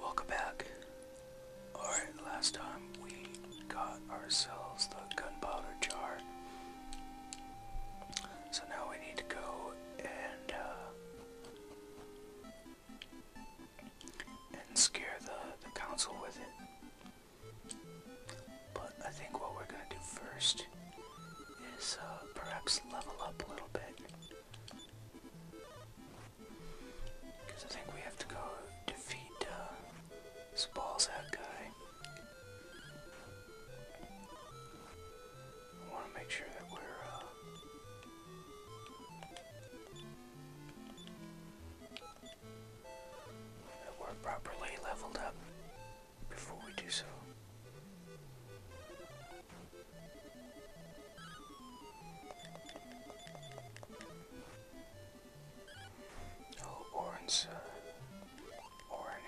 Welcome back. Alright, last time we got ourselves the gunpowder jar. So now we need to go and uh, and scare the, the council with it. But I think what we're gonna do first is uh, perhaps level up a little bit. Because I think we have to go defeat balls uh, Spalzat guy. I want to make sure that we're. Uh, that we're properly leveled up before we do so. Oh, Orin's, uh,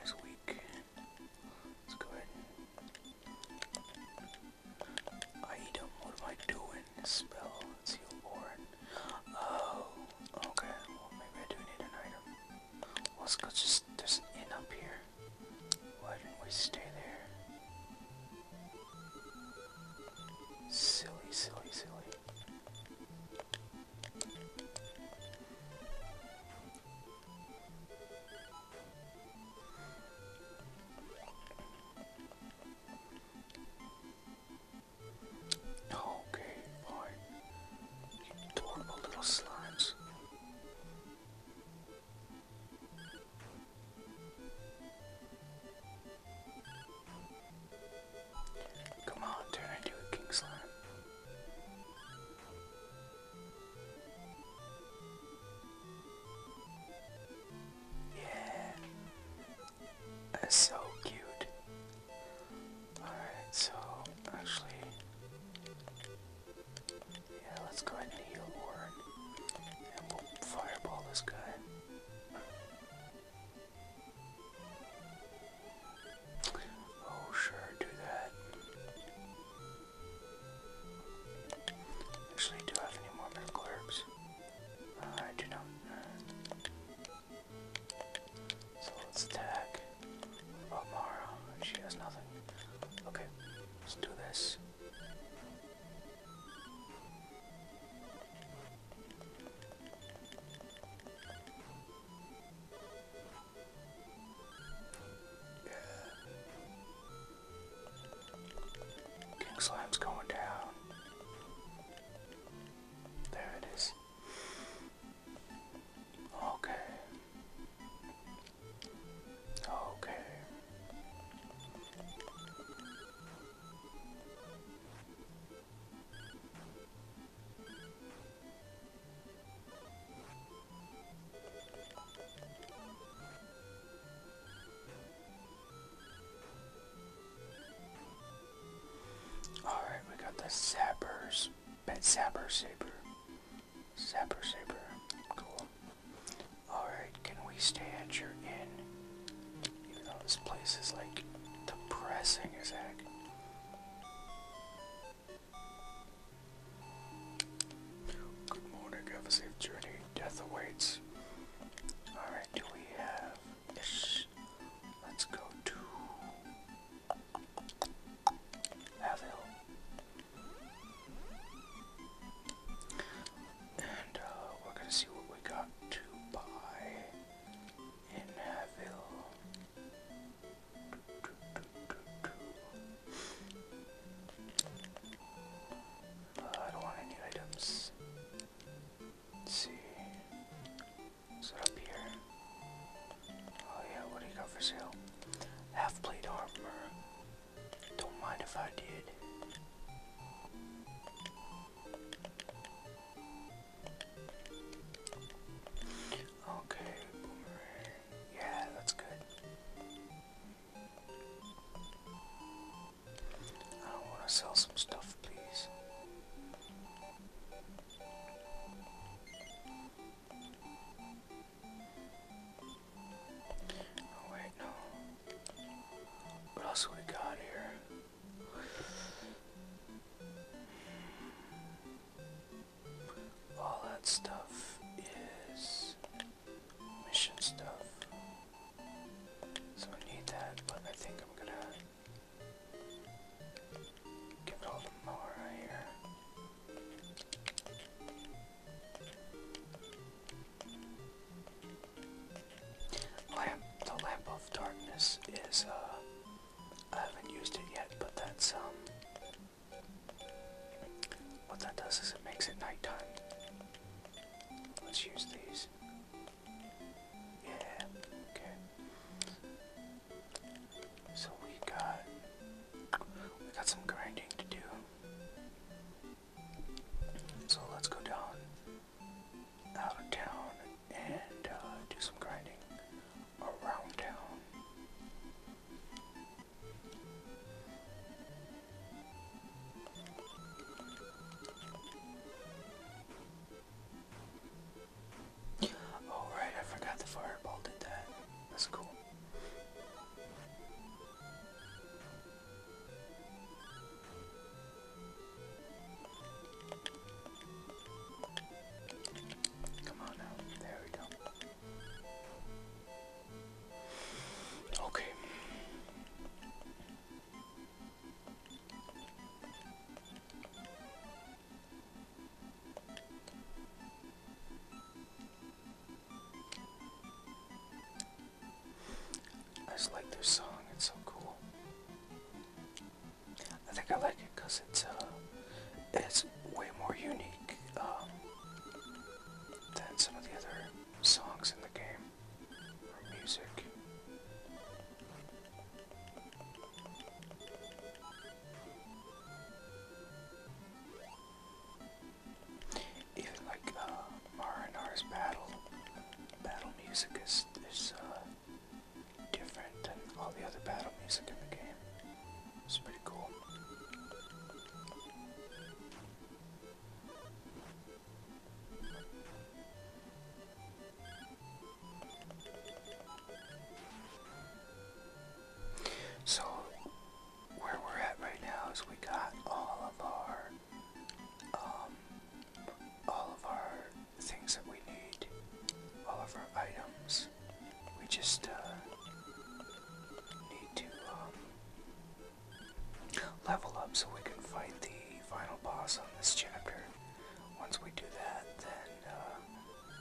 is weak. Let's go ahead Item, what am I doing? Spell, let's Oh, okay, maybe I do need an item. Let's go just, there's an up here. Why didn't we stay there? Silly, silly, silly. Okay, fine. You adorable little slimes. Come on, turn into a king slime. Yeah. That's so cute. Alright, so actually yeah, let's go ahead and heal Warren. And we'll fireball this guy. Oh, sure, do that. Actually, do I have any more medical herbs? Uh, I do not. So let's attack. Oh, She has nothing. Okay, Let's do this. King Slime's going down. There it is. Okay. Okay. All right, we got the sappers, pet sapper saber. Zapper, zapper, Cool. Alright, can we stay at your inn? Even though this place is like depressing as heck. Good morning, have a safe journey. Death awaits. Alright, do we have ish? Let's go to Hazel. And uh, we're gonna see what we got to buy in Haville. Uh, I don't want any items. Let's see. Is up here? Oh yeah, what do you got for sale? Half plate armor. Don't mind if I did. Okay, Yeah, that's good. I want to sell some stuff, please. Oh wait, no. What else we got here? All that stuff is mission stuff. So I need that, but I think I'm gonna give all the mower right here. Lamp, the lamp of darkness is, uh, I haven't used it yet, but that's, um, what that does is it makes it nighttime. Let's use these. Yeah, okay. So we got we got some grinding to do. So let's go down out of town and uh, do some grinding around town. Oh I forgot the fireball did that. That's cool. Come on now, there we go. Okay. I just like their song, it's so cool. I think I like it because it's uh, it's way more unique um, than some of the other songs in the game or music. Even like uh, battle battle music is is uh, different than all the other battle music in the game. It's pretty cool. So, where we're at right now is we got all of our, um, all of our things that we need, all of our items. We just, uh, need to, um, level up so we can fight the final boss on this chapter. Once we do that, then uh,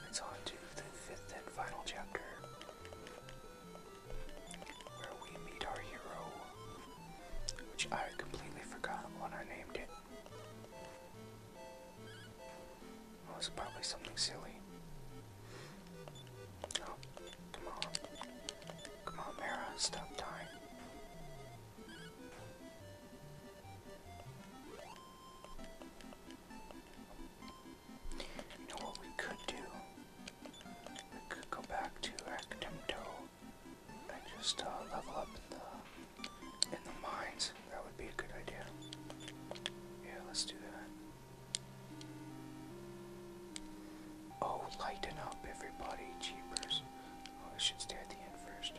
it's on to the fifth and final chapter where we meet our hero, which I completely forgot when I named it. Well, it's probably something silly. Oh, come on. Come on, Mara, stop dying. You know what we could do? We could go back to Actemto and just uh, level up in the in the mines. That would be a good idea. Yeah, let's do that. Oh, lighten up, everybody, cheapers! Oh, I should stay at the end first.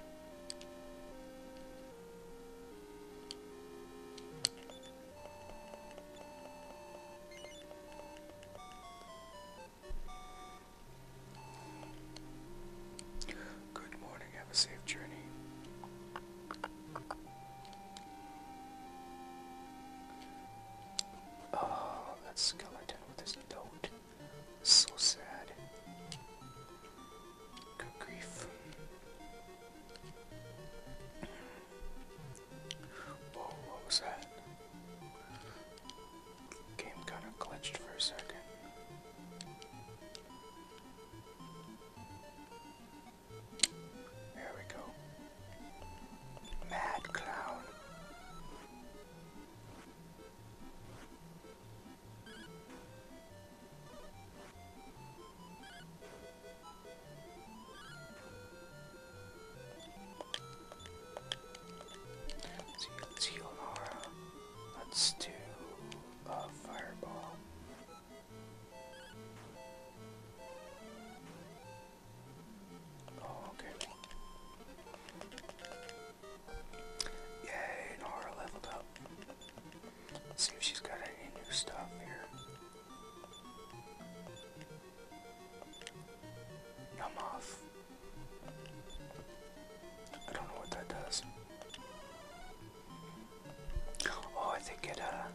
Good morning, have a safe journey. Oh, that skeleton with his note. So sad. Good grief. what was that? Game kind of glitched for a second. There we go. Mad Clown. Leonora. Let's do a fireball. Oh, okay. Yay, Nora leveled up. Let's see if she's got any new stuff here. Numb off. I don't know what that does. Oh, I think it, uh,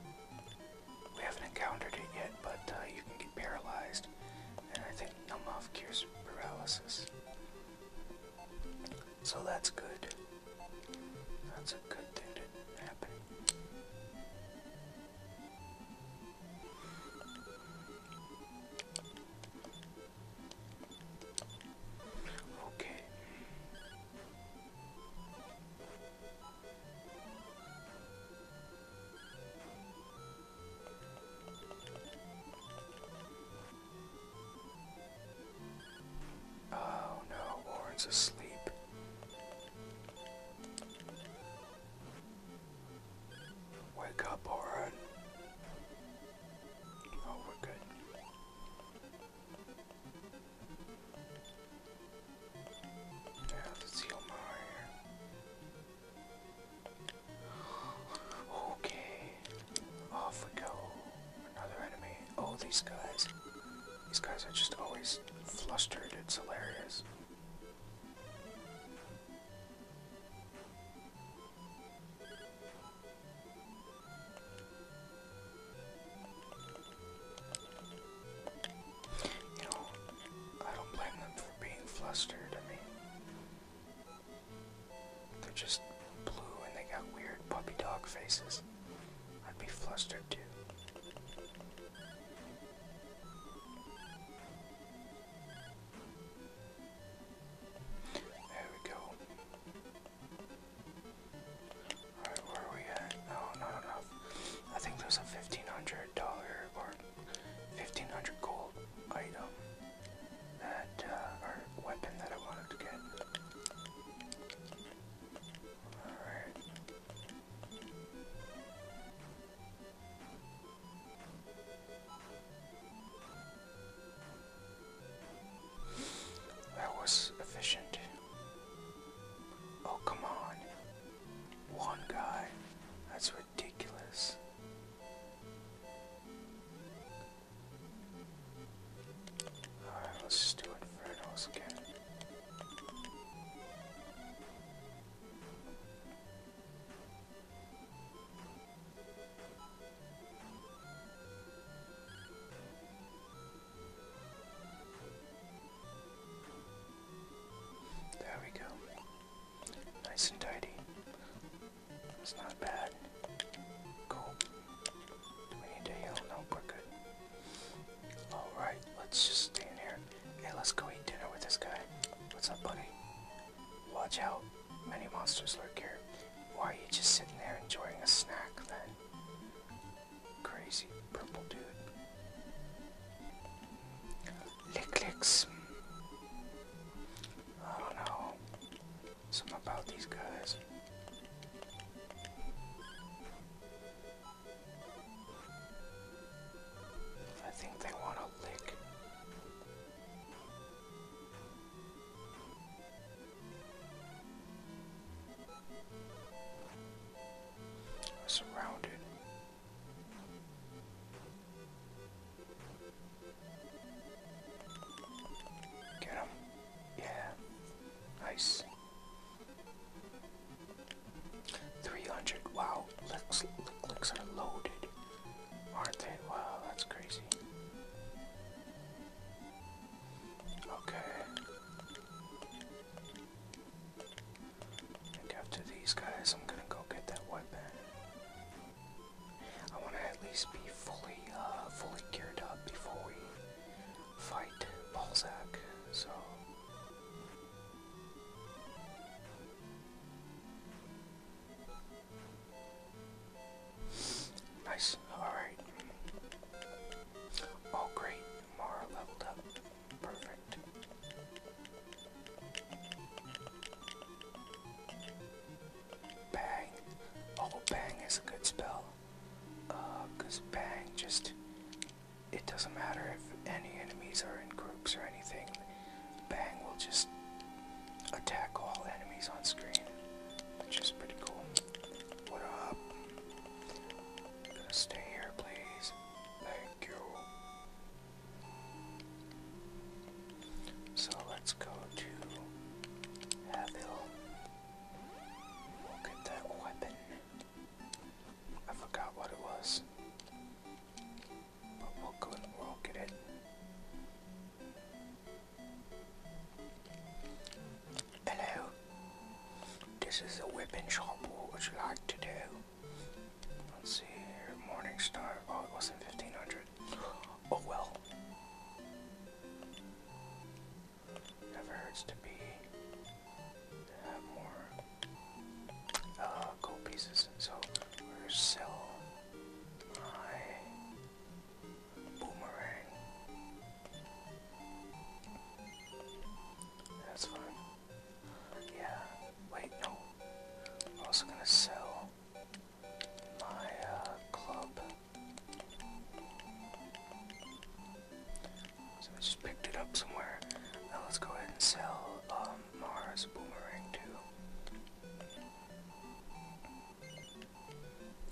we haven't encountered it yet, but uh, you can get paralyzed. And I think numb off cures paralysis. So that's good. That's a good thing to happen. Okay. Oh no, Warren's asleep. Wake up, Warren. Oh, we're good. Yeah, let's heal more here. Okay, off we go another enemy. Oh, these guys. These guys are just always flustered. It's hilarious. You know, I don't blame them for being flustered. They're just blue and they got weird puppy dog faces. I'd be flustered too. There we go. Alright, where are we at? Oh, no, not enough. I think there's a $1,500 1500 gold item that, uh, weapon that I wanted to get. That was efficient. Oh, come on. One guy. That's ridiculous. Alright, let's do it for Innos again. There we go. Nice and tidy. It's not bad. Cool. we need to heal? No, Alright, let's just stay in here. Hey, let's go eat dinner with this guy. What's up, buddy? Watch out. Many monsters lurk here. Why are you just sitting there enjoying a snack then? Crazy purple dude. Lick licks. Hmm. I don't know. Some about these guys. I think they want to lick. Surrounded. Get him. Yeah. Nice. 300. Wow. Licks, lick, licks are loaded. Aren't they? Wow, that's crazy. Okay. after these guys, I'm gonna go get that weapon. I want to at least be fully, uh, fully geared up before we fight Balzac. So. Nice. Alright. Oh, great. Mara leveled up. Perfect. Bang. Although bang is a good spell. Because uh, bang just. It doesn't matter if any enemies are in groups or anything. Bang will just attack all enemies on screen. Which is pretty cool. What up? stay here, please. Thank you. So let's go to Havil. We'll get that weapon. I forgot what it was. But we'll go and we'll get it. Hello. This is a weapon shop. What would you like to do? Let's see here. Morningstar. Oh, it wasn't 1500. Oh well. Never hurts to be have more uh, gold pieces. So we sell my boomerang. That's fine. Yeah. Wait, no. also gonna sell my uh, club. So I just picked it up somewhere. Now let's go ahead and sell um, Mars Boomerang too.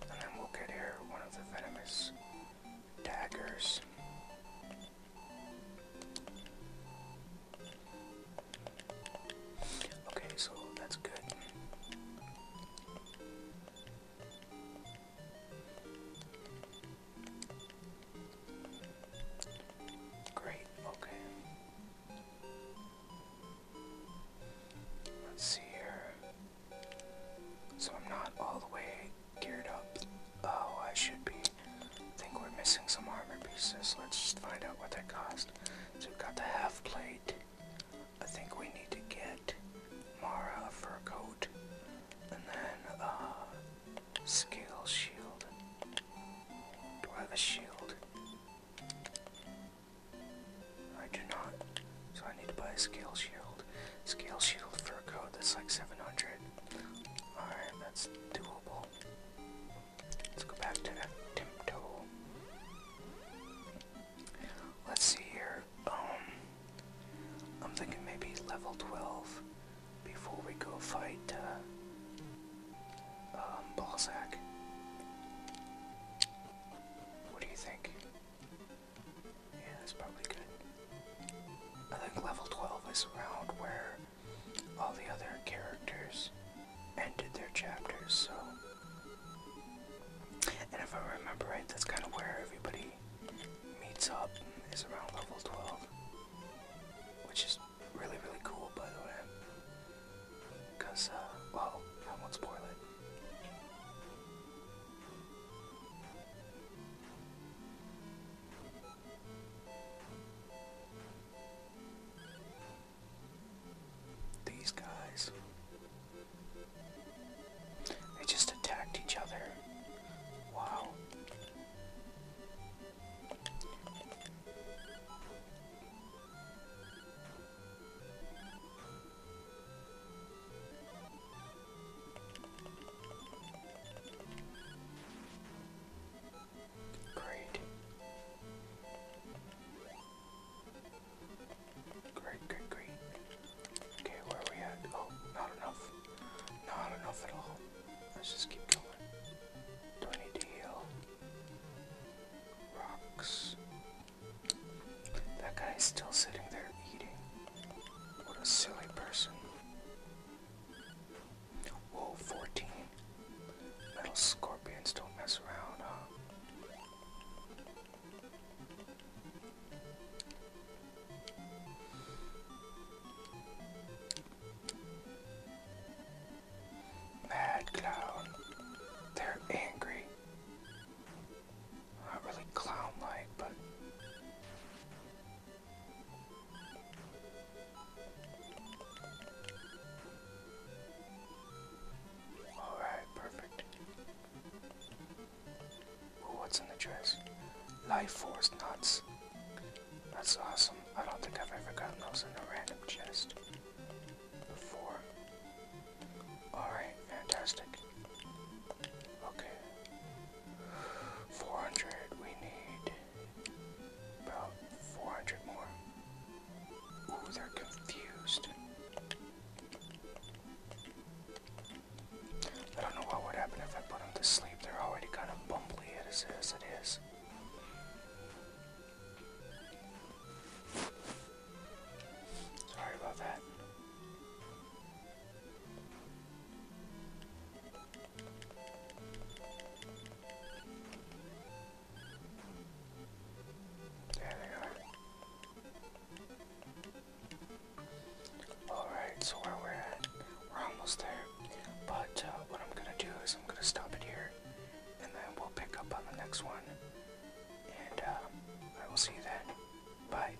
And then we'll get here one of the venomous daggers. Okay, so that's good. Great, okay. Let's see here. So I'm not all the way geared up. Oh, I should be. think we're missing some armor pieces. Let's find out what that cost. So we've got the half plate. I think we need to get Mara a fur coat and then a scale shield. Do I have a shield? I do not. So I need to buy a scale shield. Scale shield fur coat that's like 700. Alright, that's doable. Let's go back to Tempto. Let's see here. Um, I'm thinking maybe level 12 before we go fight uh, um, Balzac. What do you think? Yeah, that's probably good. I think level 12 is around where all the other characters ended their chapters, so. And if I remember right, that's kind of where everybody meets up, is around level 12. Which is really, really cool, by the way. Because, uh, well, that one's not these guys. They just attacked each other. Wow. Great. Great, great, great. Okay, where we at? Oh, not enough. Not enough at all. Let's just keep going. Do I need to heal? Rocks. That guy is still sitting there eating. What a silly person. Whoa, 14. Metal scorpions don't mess around, Mad clown. They're angry. Not really clown like, but. Alright, perfect. what's in the chest? Life force nuts. That's awesome. I don't think I've ever gotten those in a random chest before. Alright, fantastic. Okay. 400, we need about 400 more. Ooh, they're confused. I don't know what would happen if I put them to sleep. They're already kind of bumbly as, it is. Sorry about that. There they are. Alright, so where we're at, we're almost there. But uh, what I'm gonna do is I'm gonna stop it here, and then we'll pick up on the next one. And uh, I will see you then. Bye.